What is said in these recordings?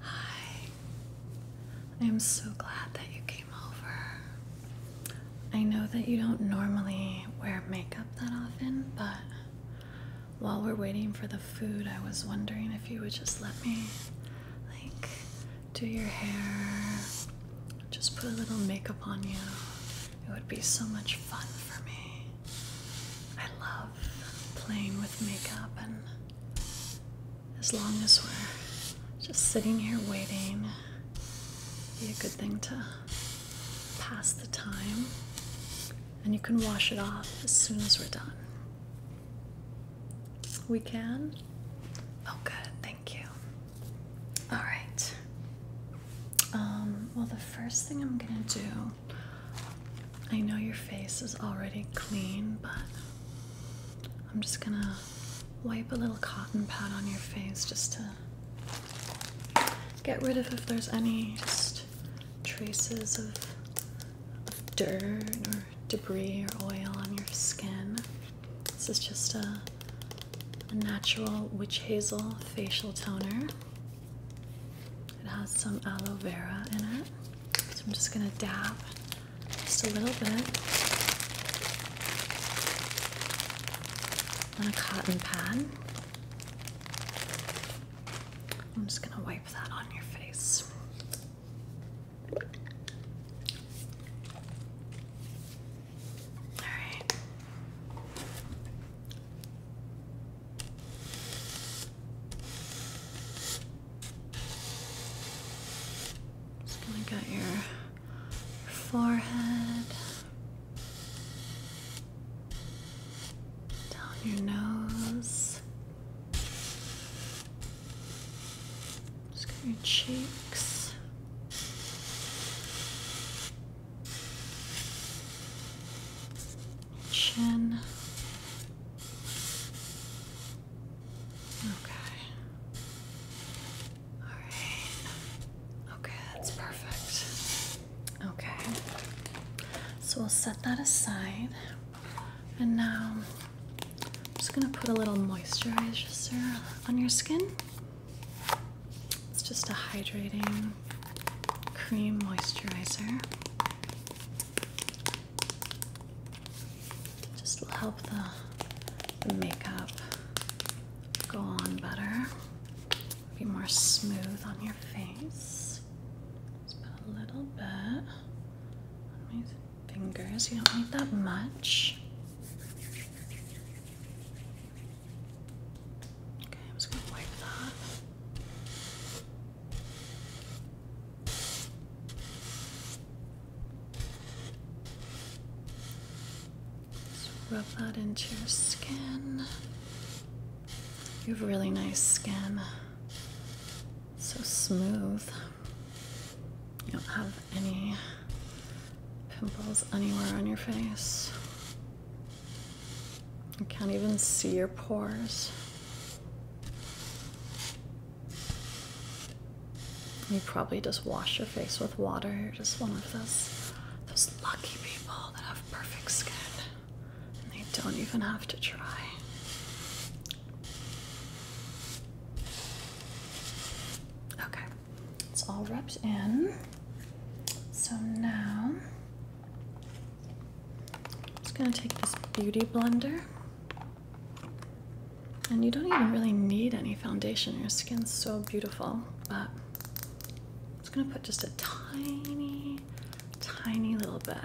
Hi, I am so glad that you came over. I know that you don't normally wear makeup that often, but while we're waiting for the food, I was wondering if you would just let me, like, do your hair, just put a little makeup on you. It would be so much fun for me. I love playing with makeup, and as long as we're just sitting here waiting, be a good thing to pass the time. And you can wash it off as soon as we're done. We can? Oh, good, thank you. All right. Um, well, the first thing I'm gonna do I know your face is already clean, but I'm just gonna wipe a little cotton pad on your face just to get rid of if there's any traces of, dirt or debris or oil on your skin. This is just a natural witch hazel facial toner. It has some aloe vera in it. So I'm just going to dab just a little bit on a cotton pad. I'm just going to wipe that on your face. All right. Just gonna get your, forehead, down your nose, just get your cheeks chin. Okay. All right. Okay, that's perfect. Okay. So we'll set that aside. And now I'm just going to put a little moisturizer on your skin. It's just a hydrating cream moisturizer. Just will help the, makeup go on better, be more smooth on your face. Just put a little bit on my fingers. You don't need that much. Okay, I'm just gonna wipe that rub that into your skin. You have really nice skin. So smooth. You don't have any pimples anywhere on your face. I can't even see your pores. You probably just wash your face with water. You're just one of those those lucky people that have perfect skin. And they don't even have to try. Okay, it's all rubbed in. So now I'm just gonna take this beauty blender. And you don't even really need any foundation. Your skin's so beautiful, but I'm just gonna put just a tiny, tiny little bit.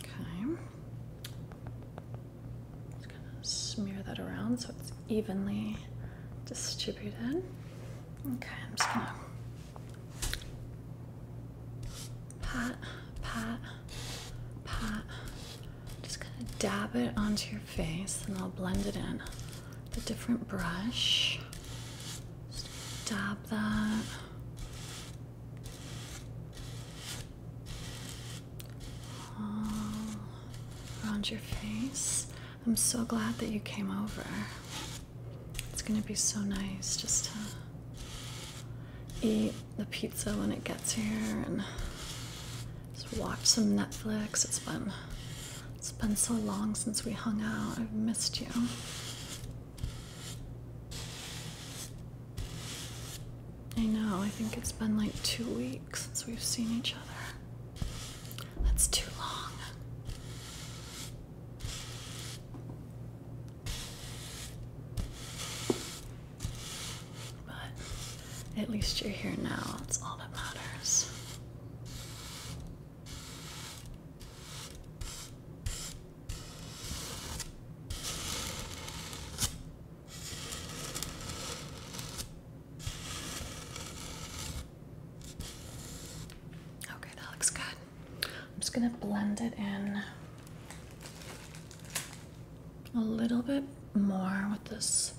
Okay. Just gonna smear that around so it's evenly distributed. Okay, I'm just gonna pat, pat, pat. Just gonna dab it onto your face and I'll blend it in. A different brush. Just dab that. All um, around your face. I'm so glad that you came over. It's gonna be so nice just to eat the pizza when it gets here and just watch some Netflix. It's been it's been so long since we hung out. I've missed you. I know, I think it's been like two weeks since we've seen each other. That's too long. But at least you're here now, that's all that matters. Okay, that looks good. I'm just going to blend it in a little bit more with this,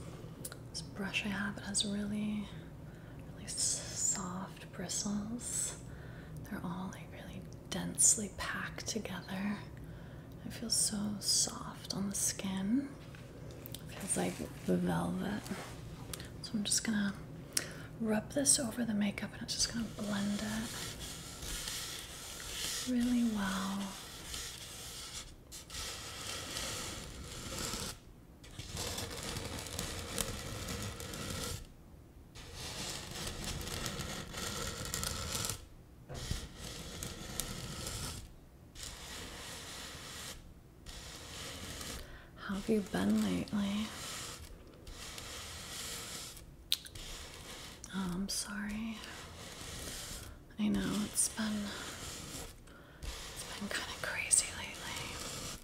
brush I have. It has really, really soft bristles. They're all like really densely packed together. It feels so soft on the skin. Feels like velvet. So I'm just gonna rub this over the makeup and I'm just gonna blend it really well. How have you been lately? Oh, I'm sorry. I know it's been it's been kind of crazy lately.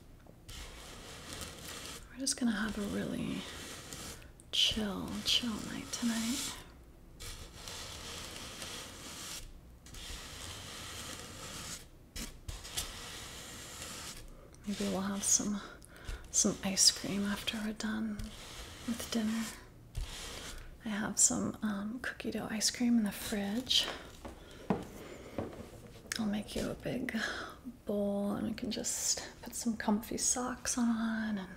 We're just gonna have a really chill, chill night tonight. Maybe we'll have some some ice cream after we're done with dinner. I have some um, cookie dough ice cream in the fridge. I'll make you a big bowl and we can just put some comfy socks on and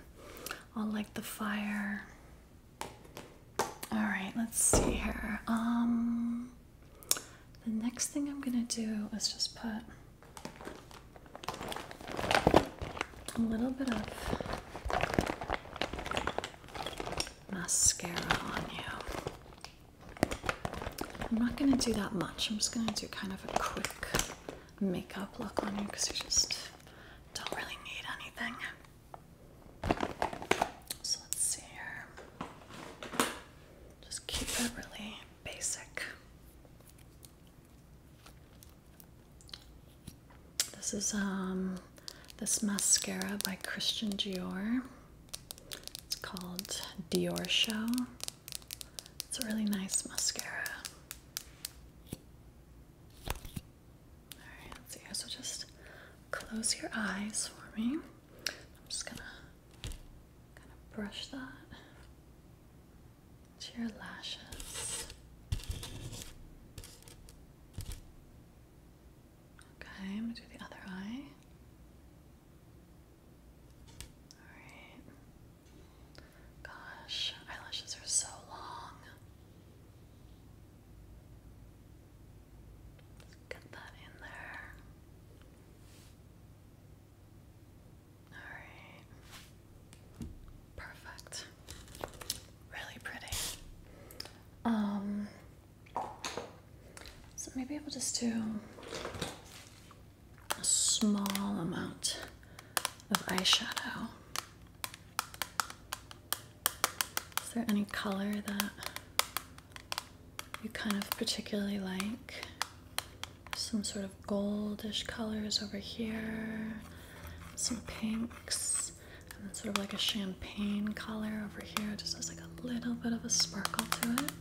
I'll light the fire. All right, let's see here. Um, the next thing I'm gonna do is just put a little bit of mascara on you. I'm not gonna do that much. I'm just gonna do kind of a quick makeup look on you because you just don't really need anything. So let's see here. Just keep it really basic. This is um this mascara by Christian Dior. It's called Dior Show. It's a really nice mascara. Alright, let's see So just close your eyes for me. I'm just gonna kind of brush that to your lashes. Okay, I'm gonna do the other eye. Alright. Gosh, eyelashes are so long. Let's get that in there. Alright. Perfect. Really pretty. Um so maybe I will just do a small amount of eyeshadow. Is there any color that you kind of particularly like? Some sort of goldish colors over here, some pinks, and then sort of like a champagne color over here. just has like a little bit of a sparkle to it.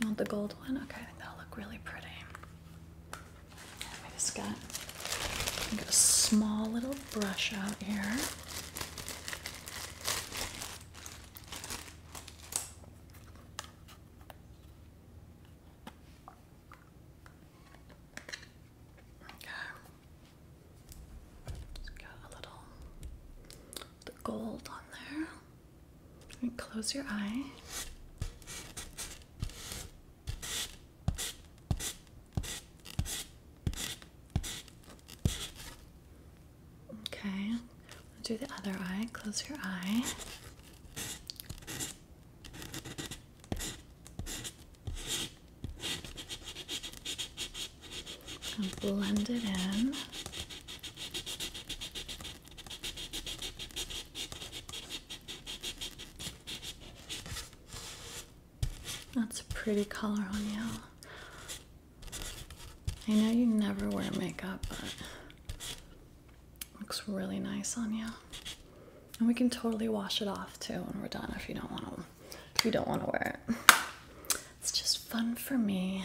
You want the gold one? Okay, I think that'll look really pretty. I just got, a small little brush out here. Okay. Just got a little the gold on there. close your eye. Okay, I'll do the other eye. Close your eye. And blend it in. That's a pretty color on you. I know you never wear makeup, but looks really nice on you. And we can totally wash it off too when we're done if you don't want to if you don't want to wear it. It's just fun for me.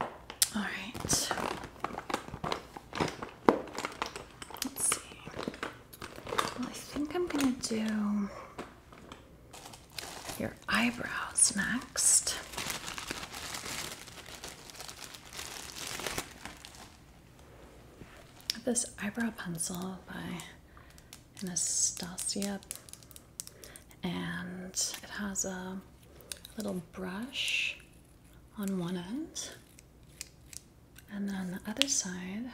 All right. Let's see. I think I'm gonna do your eyebrows next. This eyebrow pencil by Anastasia, and it has a little brush on one end and then on the other side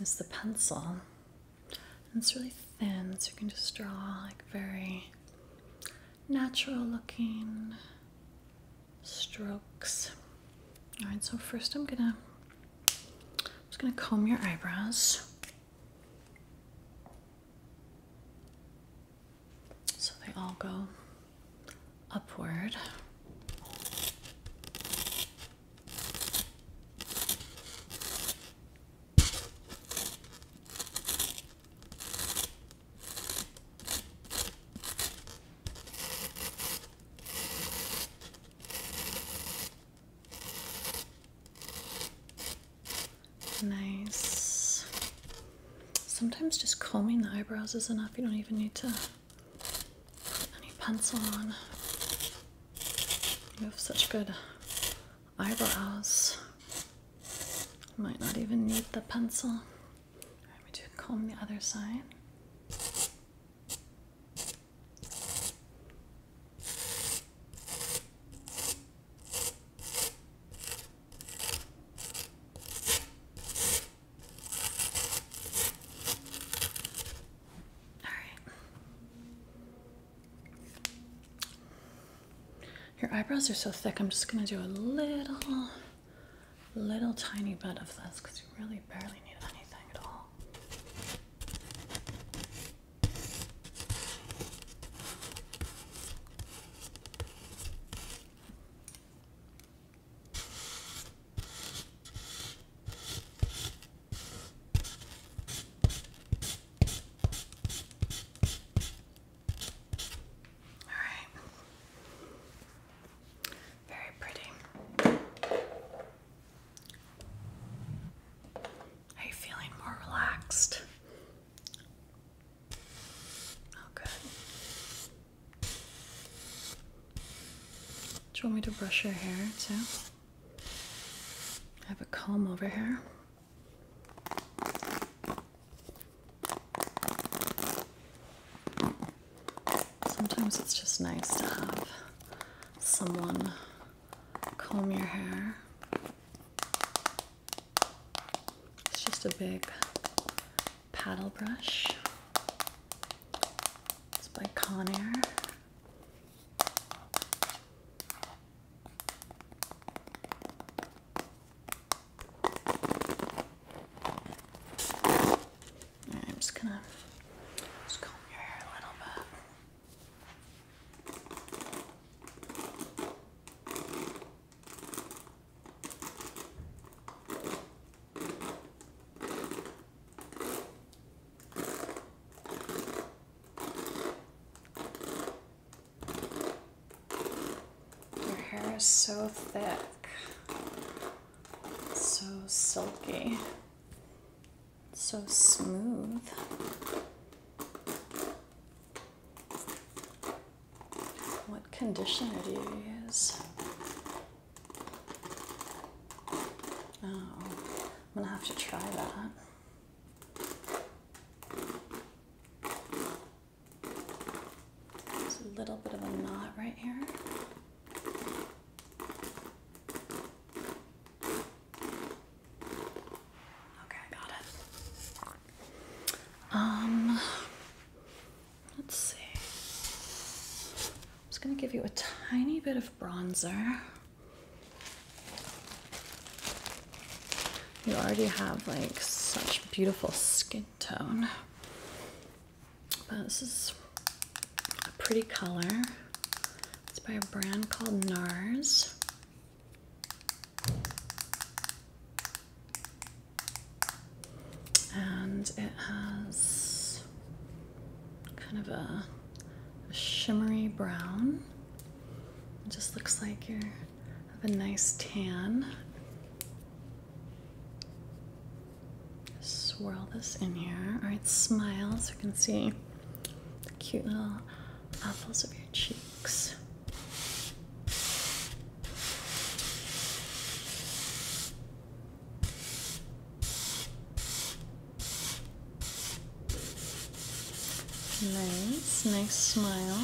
is the pencil. it's really thin, so you can just draw like very natural looking strokes. All right, so first I'm to just gonna comb your eyebrows. So they all go upward. Nice. Sometimes just combing the eyebrows is enough. You don't even need to any pencil on. You have such good eyebrows. Might not even need the pencil. All right, we do comb the other side right. Your eyebrows are so thick. I'm just going to do a little, little tiny bit of this because you really barely need anything at all. All right. Very pretty. Are you feeling more relaxed? Oh, do you want me to brush your hair too? Have a comb over here. Sometimes it's just nice to have someone comb your hair. It's just a big paddle brush. It's by Conair. I'm just gonna just your hair a little bit. Your hair is so thick, so silky, so smooth. What conditioner do you use? Oh, I'm gonna have to try that. There's a little bit of a knot right here. Okay, I got it. Um, Let's see. I'm just going to give you a tiny bit of bronzer. You already have like such beautiful skin tone. But this is a pretty color. It's by a brand called NARS and it has kind of a, shimmery brown. It just looks like you have a nice tan. swirl this in here. All right, smile so you can see the cute little apples of your cheeks. Nice, nice smile.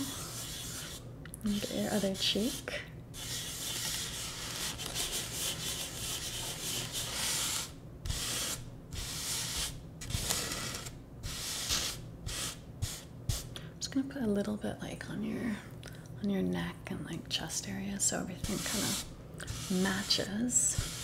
And your other cheek. I'm just gonna put a little bit like on your on your neck and like chest area so everything kind of matches.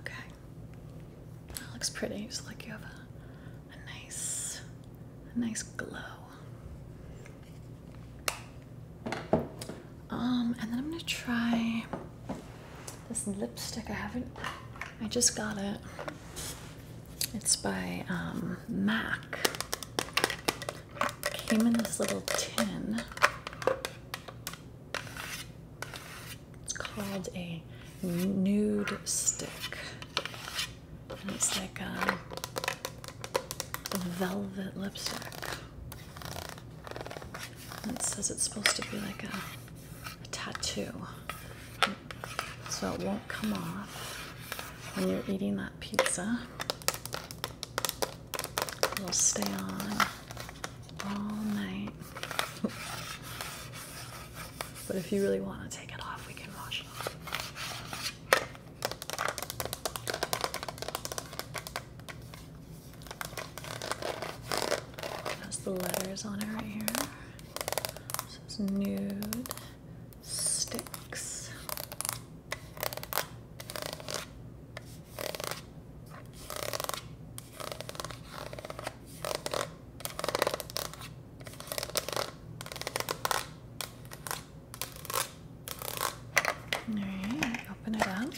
Okay. That looks pretty. It's like you have a nice a nice glow um, and then I'm gonna try this lipstick. I haven't, I just got it. It's by um, MAC. came in this little tin. It's called a nude stick. And it's like a um, velvet lipstick. And it says it's supposed to be like a, a tattoo, so it won't come off when you're eating that pizza. It'll stay on all night. but if you really want to take it off, we can wash it off. Has the letters on it right here. Says nude sticks. All right, open it up.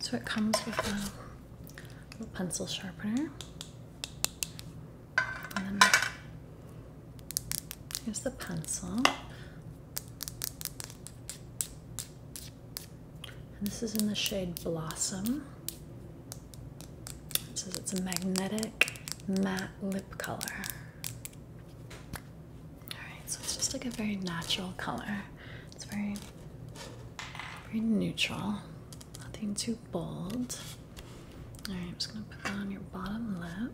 So it comes with a little pencil sharpener. here's the pencil. this is in the shade Blossom. It says it's a magnetic matte lip color. Alright, so it's just like a very natural color. It's very very neutral. Nothing too bold. Alright, I'm just gonna put that on your bottom lip.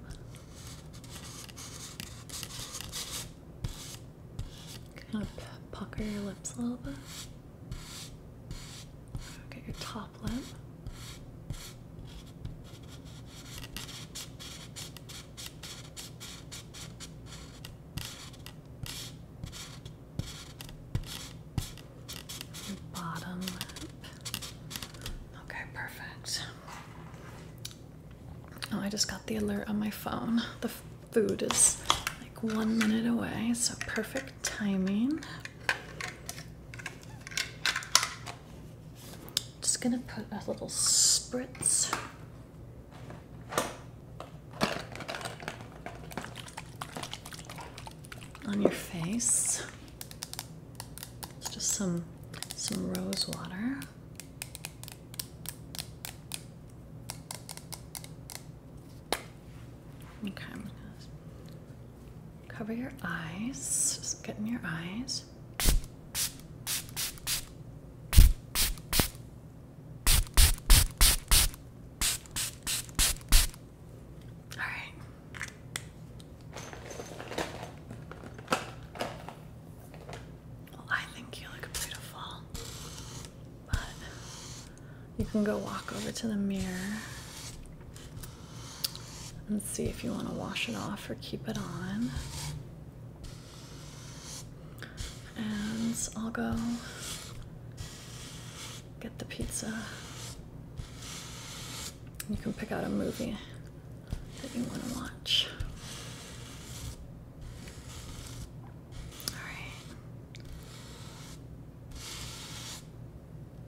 Kind of pucker your lips a little bit. Okay, your top bottom Okay, perfect. Oh, I just got the alert on my phone. The food is like one minute away, so perfect timing. Just gonna put a little spritz. on your face. just some some rose water. Okay, Cover your eyes. Just get in your eyes. All right. Well, I think you look beautiful, but you can go walk over to the mirror Let's see if you want to wash it off or keep it on. And I'll go get the pizza. You can pick out a movie that you want to watch. All right.